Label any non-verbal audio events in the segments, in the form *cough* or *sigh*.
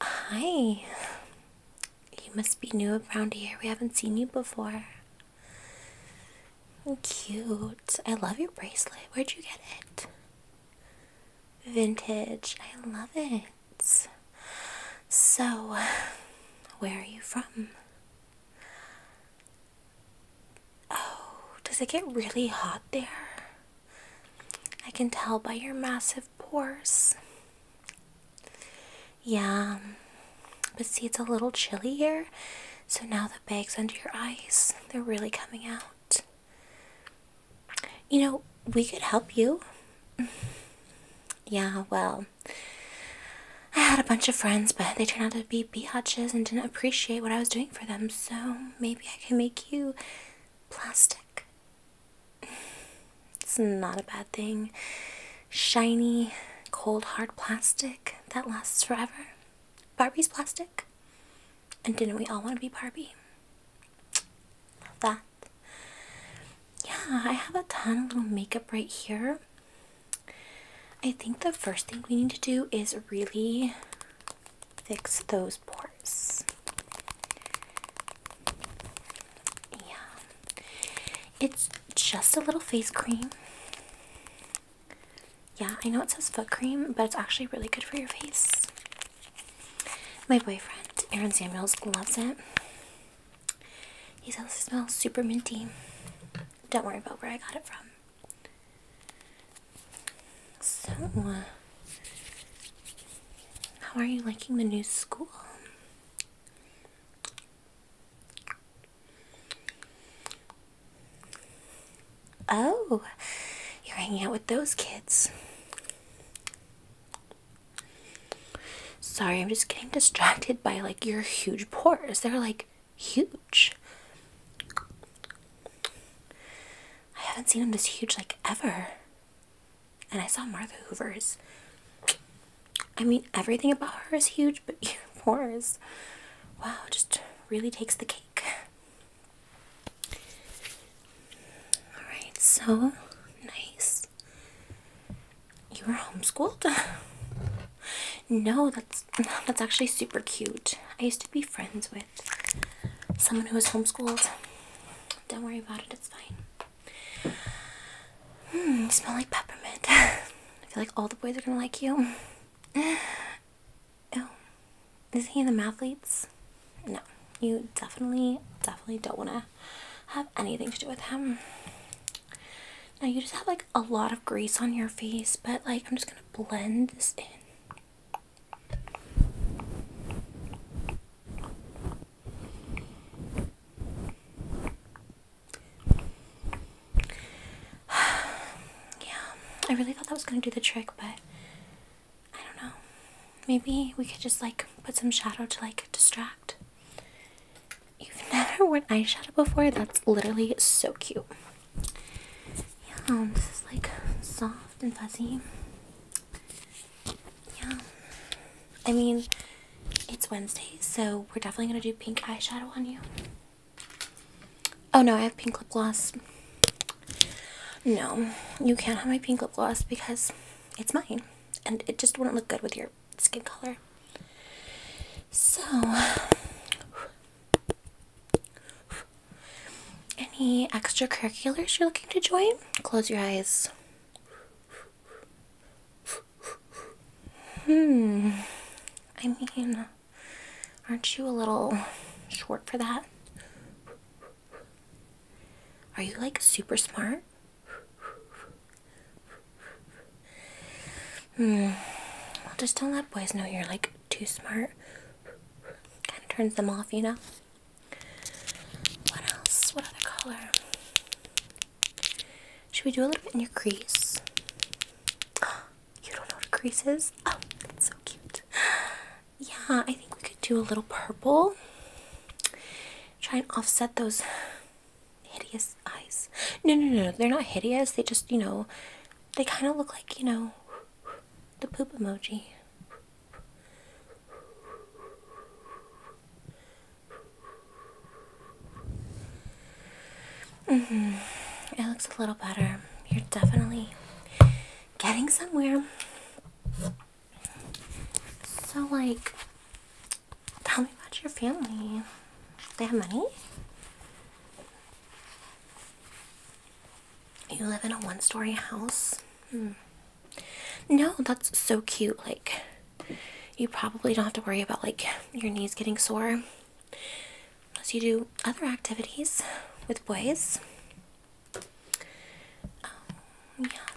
Hi. You must be new around here. We haven't seen you before. Cute. I love your bracelet. Where'd you get it? Vintage. I love it. So, where are you from? Oh, does it get really hot there? I can tell by your massive pores. Yeah, but see, it's a little chilly here, so now the bags under your eyes, they're really coming out. You know, we could help you. yeah, well, I had a bunch of friends, but they turned out to be biatches and didn't appreciate what I was doing for them, so maybe I can make you plastic. It's not a bad thing. Shiny, cold, hard plastic that lasts forever. Barbie's plastic. And didn't we all want to be Barbie? Love that. Yeah, I have a ton of makeup right here. I think the first thing we need to do is really fix those pores. Yeah, it's just a little face cream. Yeah, I know it says foot cream, but it's actually really good for your face. My boyfriend, Aaron Samuels, loves it. He says it smells super minty. Don't worry about where I got it from. So, uh, how are you liking the new school? Oh, you're hanging out with those kids. Sorry, I'm just getting distracted by like your huge pores. They're like huge. I haven't seen them this huge like ever. And I saw Martha Hoover's. I mean, everything about her is huge, but yours, *laughs* wow, just really takes the cake. Alright, so nice. You were homeschooled? *laughs* no, that's that's actually super cute. I used to be friends with someone who was homeschooled. Don't worry about it, it's fine. Hmm, you smell like peppermint. *laughs* I feel like all the boys are gonna like you. *sighs* Oh, is he in the mathletes? No, you definitely, definitely don't wanna have anything to do with him. Now you just have like a lot of grease on your face, but like I'm just gonna blend this in. *sighs* yeah, I really thought that was gonna do the trick, but I don't know. Maybe we could just like put some shadow to like distract. You've never *laughs* worn eyeshadow before? That's literally so cute. Yeah, um, this is like soft and fuzzy. Yeah. I mean, it's Wednesday, so we're definitely gonna do pink eyeshadow on you. Oh no, I have pink lip gloss. No, you can't have my pink lip gloss because it's mine and it just wouldn't look good with your skin color. So, any extracurriculars you're looking to join? Close your eyes. Hmm. I mean, aren't you a little short for that? Are you like super smart? Hmm. just don't let boys know you're like too smart. Kind of turns them off, you know? What else? What other color? Should we do a little bit in your crease? Oh, *gasps* you don't know what a crease is? Oh, so cute. *gasps* Yeah, I think we could do a little purple. Try and offset those hideous eyes. No, no, no, they're not hideous. They just, you know, they kind of look like, you know, the poop emoji. Mm-hmm. It looks a little better. You're definitely getting somewhere. So, like, tell me about your family. They have money? You live in a one story house? Hmm. No, that's so cute. Like, you probably don't have to worry about like your knees getting sore unless you do other activities with boys. Um, yeah,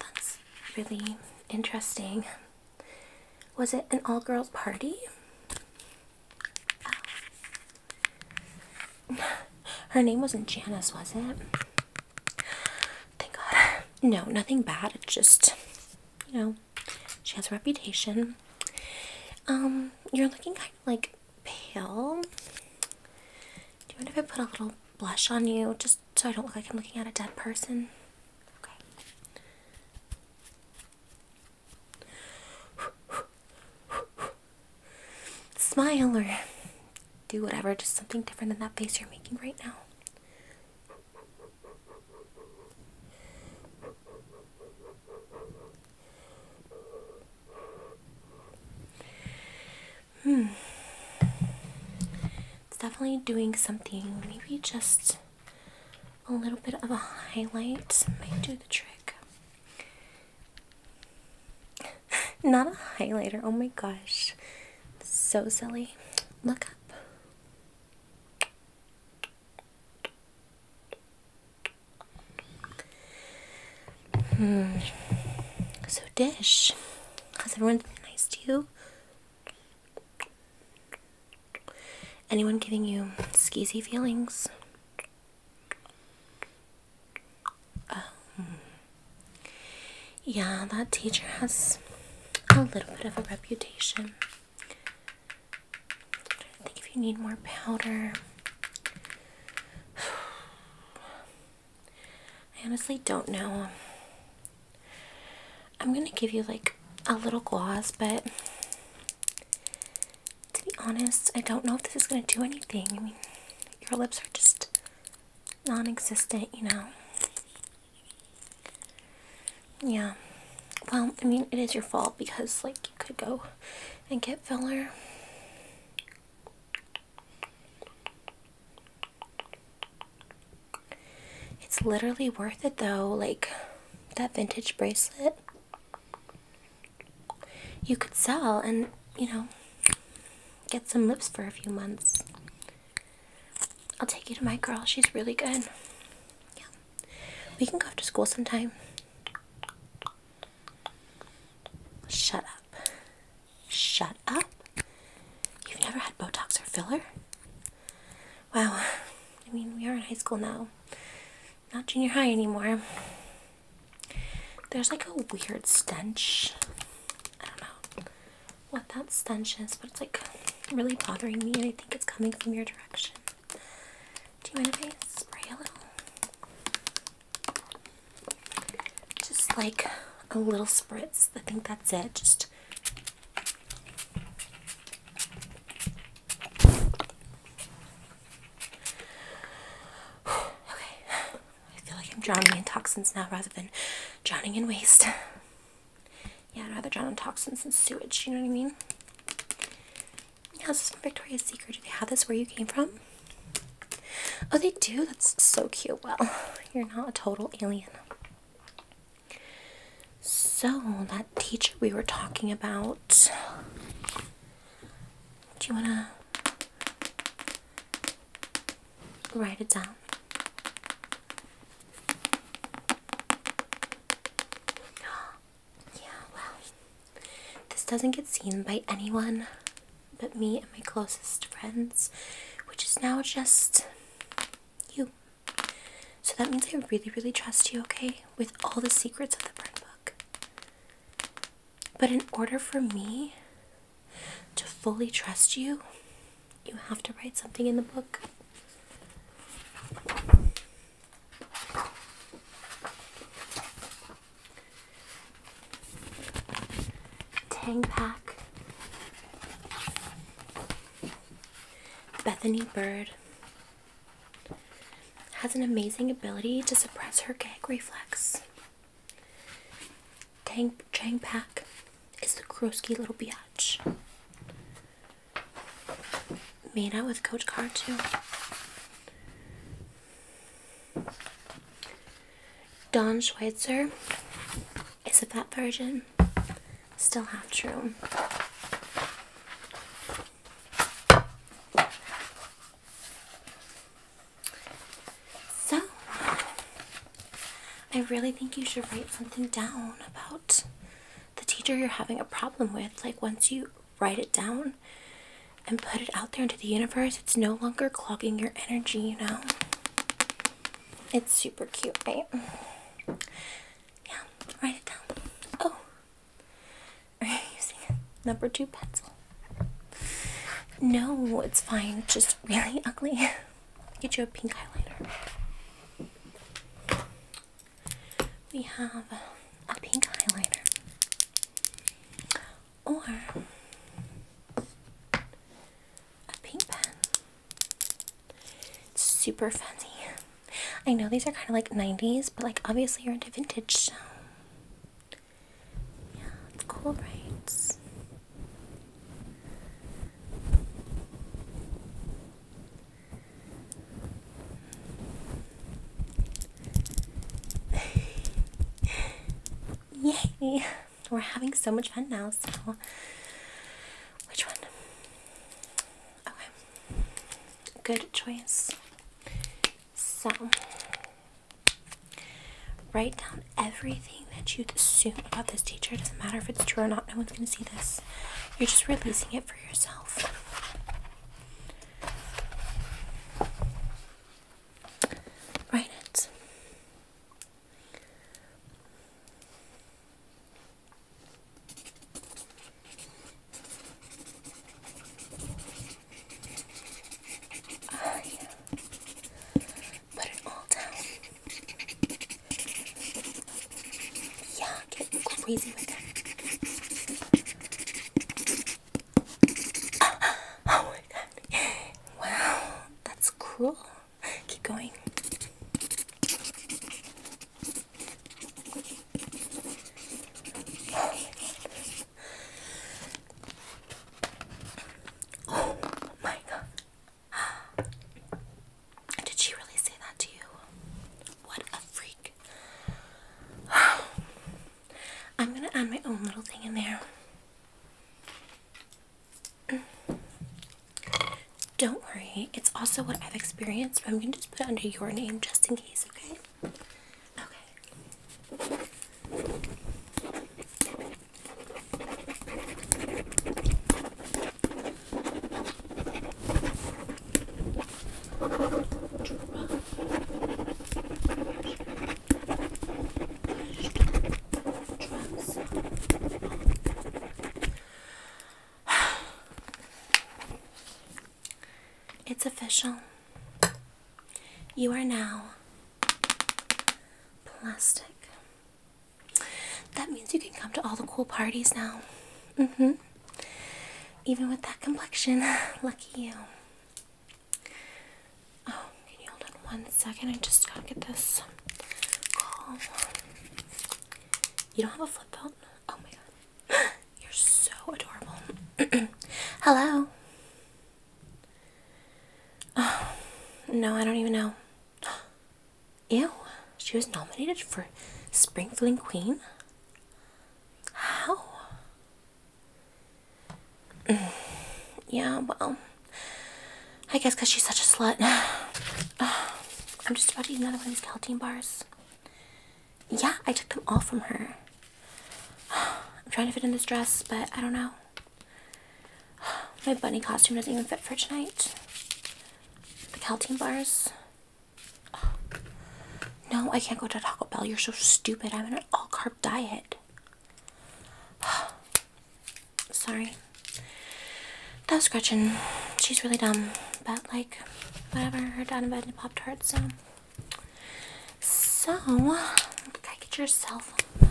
that's really interesting. Was it an all girls party? Her name wasn't Janice, was it? Thank God. No, nothing bad. It's just, you know, she has a reputation. Um, you're looking kind of like pale. Do you mind if I put a little blush on you just so I don't look like I'm looking at a dead person? Okay smile or do whatever, just something different than that face you're making right now. Hmm. It's definitely doing something. Maybe just a little bit of a highlight might do the trick. Not a highlighter. Oh my gosh. So silly. Look up. Hmm. So, Dish, has everyone been nice to you? Anyone giving you skeezy feelings? Um, yeah, that teacher has a little bit of a reputation. I think if you need more powder. *sighs* I honestly don't know. I'm gonna give you like a little gloss, but to be honest, I don't know if this is gonna do anything your lips are just non existent, you know. Yeah. Well, I mean, it is your fault because, like, you could go and get filler. It's literally worth it though, like that vintage bracelet you could sell and, you know, get some lips for a few months. I'll take you to my girl. She's really good. Yeah. We can go after school sometime. Shut up. Shut up. You've never had Botox or filler? Wow. I mean, we are in high school now. Not junior high anymore. There's like a weird stench. I don't know what that stench is, but it's like really bothering me, and I think it's coming from your direction. Do you mind if I spray a little? Just like a little spritz. I think that's it. Just. *sighs* Okay, I feel like I'm drowning in toxins now rather than drowning in waste. *laughs* Yeah, I'd rather drown in toxins than sewage, you know what I mean? How's this from Victoria's Secret? Do they have this where you came from? Oh, they do? That's so cute. Well, *laughs* you're not a total alien. So, that teacher we were talking about. Do you wanna write it down. *gasps* Yeah, well, this doesn't get seen by anyone but me and my closest friends, which is now just you. So that means I really, really trust you, okay? With all the secrets of the burn book. But in order for me to fully trust you, you have to write something in the book. Tang Pack, Bethany Bird has an amazing ability to suppress her gag reflex. Tang Chang is the Kroski little biatch. Made out with Coach Car too. Don Schweitzer is a fat version. Still half true. So, I really think you should write something down about the teacher you're having a problem with. Like, once you write it down and put it out there into the universe, it's no longer clogging your energy, you know? It's super cute, right? Yeah, write it down. Oh, *laughs* are you using number two pencil? No, it's fine. Just really *laughs* ugly. Get you a pink highlighter. We have a pink highlighter. Or a pink pen. super fancy. I know these are kind of like 90s, but like obviously you're into vintage, so yeah, it's cool, right? *laughs* Yay! We're having so much fun now, so which one? Okay. Good choice. So Write down everything that you assume about this teacher. It doesn't matter if it's true or not, no one's going to see this. You're just releasing it for yourself. Write it. I oh, put it all down. Yeah, get crazy with it. *laughs* Oh, my god. Wow, that's cool. Keep going. Oh my god. *gasps* Did she really say that to you? What a freak. *sighs* I'm gonna add my own little thing in there. Mm. Don't worry, it's also what I've experienced, but I'm gonna just put it under your name just in case, okay? Okay. It's official. You are now plastic. That means you can come to all the cool parties now. Mm hmm. Even with that complexion. *laughs* Lucky you. Oh, can you hold on one second? I just gotta get this You don't have a flip phone? Oh my god. *gasps* You're so adorable. *clears throat* Hello? Oh, no, I don't even know. *gasps* Ew, she was nominated for Springfield Queen? How? *sighs* yeah, well, I guess she's such a slut. *sighs* *sighs* I'm just about to eat another one of these gelatin bars. Yeah, I took them all from her. I'm trying to fit in this dress, but I don't know. *sighs* My bunny costume doesn't even fit for tonight. The Caltine bars. *sighs* No, I can't go to Taco Bell. You're so stupid. I'm on an all-carb diet. *sighs* Sorry. That was Gretchen. She's really dumb. But, like, whatever. Her dad invented Pop-Tarts, so... So, could I get your cell phone?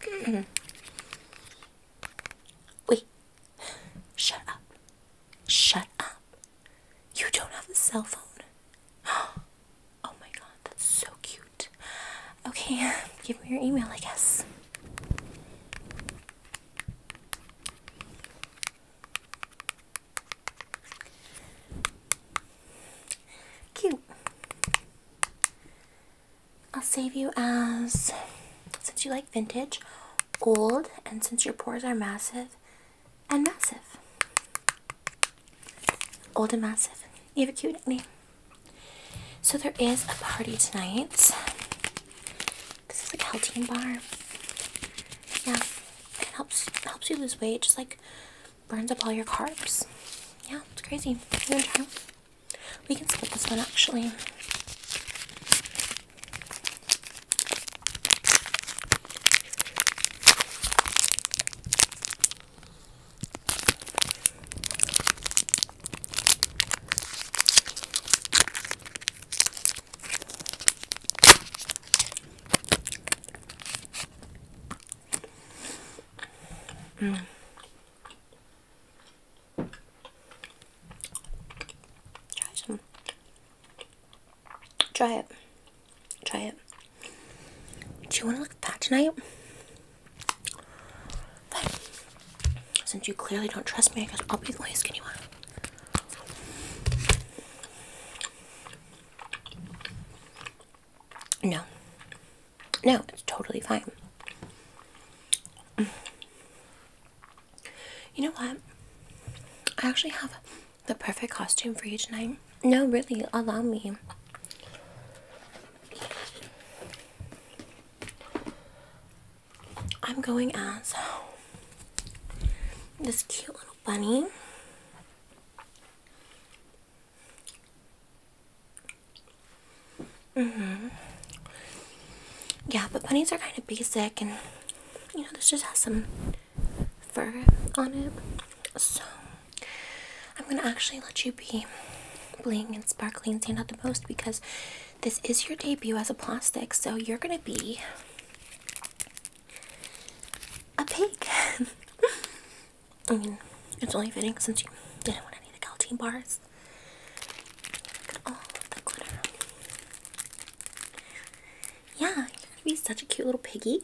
Mm-hmm. Wait. Shut up. Shut up. You don't have a cell phone. *gasps* Oh my god, that's so cute. Okay, *laughs* give me your email, I guess. Cute. I'll save you as, since you like vintage, old, and since your pores are massive and massive. Old and massive. You have a cute name. So there is a party tonight. This is like a Heltine bar. Yeah, it helps helps you lose weight. Just like burns up all your carbs. Yeah, it's crazy. You gonna try? We can skip this one actually. Mm. Try some. Try it. Try it. Do you want to look fat tonight? But since you clearly don't trust me, I guess I'll be the only skinny one. No. No, it's totally fine. You know what? I actually have the perfect costume for you tonight. No, really, allow me. I'm going as this cute little bunny hmm Yeah, but bunnies are kind of basic, and you know, this just has some fur on it. So, I'm gonna actually let you be bling and sparkly and stand out the most because this is your debut as a plastic, so you're gonna be a pig. *laughs* I mean, it's only fitting since you didn't want any of the Galtine bars. Yeah, you're gonna be such a cute little piggy.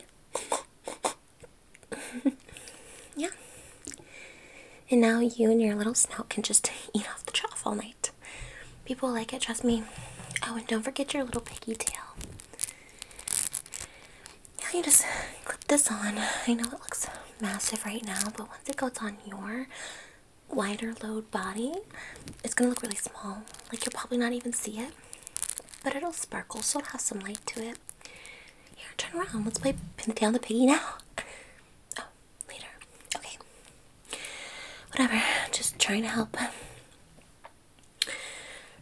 *laughs* yeah. And now you and your little snout can just eat off the trough all night. People like it, trust me. Oh, and don't forget your little piggy tail. Now you just clip this on. I know it looks massive right now, but it goes on your wider load body, it's gonna look really small. Like you'll probably not even see it, but it'll sparkle, so it'll have some light to it. Here, turn around. Let's play pin down the piggy now. Oh, later. Okay. Whatever. Just trying to help.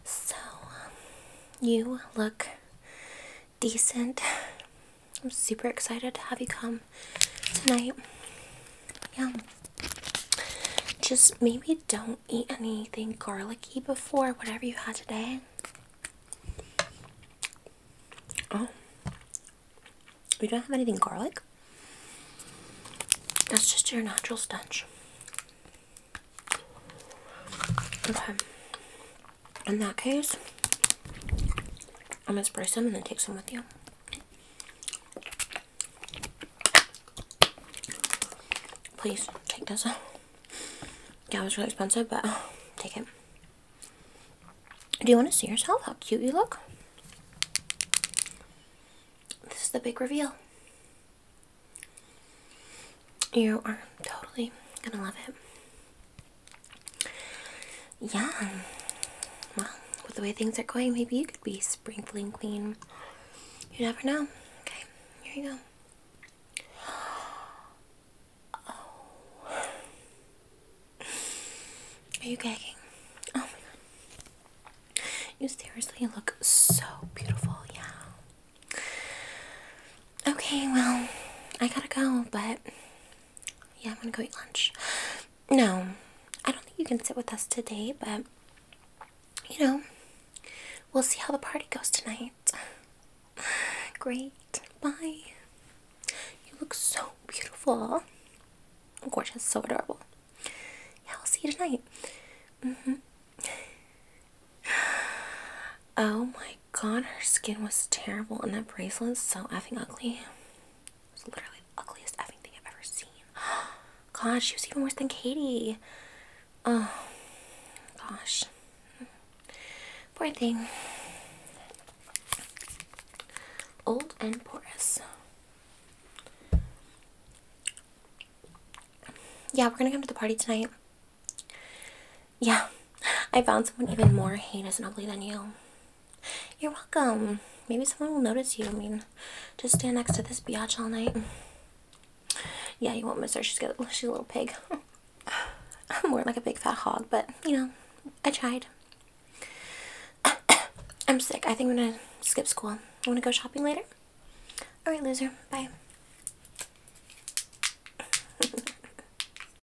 So, you look decent. *laughs* I'm super excited to have you come tonight. Yeah. Just maybe don't eat anything garlicky before whatever you had today. Oh. We don't have anything garlic. That's just your natural stench. Okay in that case, I'm gonna spray some and then take some with you. Please take this. Yeah, it was really expensive, but take it. Do you want to see yourself? How cute you look? This is the big reveal. You are totally gonna love it. Yeah. Well, with the way things are going, maybe you could be sprinkling queen. You never know. Okay, here you go. *gasps* Are you gagging? Oh my god. You seriously look so beautiful, yeah. Okay, well, I gotta go, but yeah, I'm gonna go eat lunch. No, I don't think you can sit with us today, but you know, we'll see how the party goes tonight. *sighs* Great. Bye. You look so beautiful. Gorgeous. So adorable. Yeah, we will see you tonight. -hmm. *sighs* *sighs* Oh my god, her skin was terrible, and that bracelet so effing ugly. It's literally the ugliest effing thing I've ever seen. *gasps* Gosh, she was even worse than Katie. Oh, gosh. Poor thing. Old and porous. Yeah, we're gonna come to the party tonight. Yeah, I found someone even more heinous and ugly than you. You're welcome. Maybe someone will notice you. I mean, just stand next to this biatch all night. Yeah, you won't miss her. She's, got, *laughs* she's a little pig. *laughs* I'm more like a big fat hog, but, you know, I tried. *coughs* I'm sick. I think I'm going to skip school. You want to go shopping later? Alright, loser. Bye. *laughs*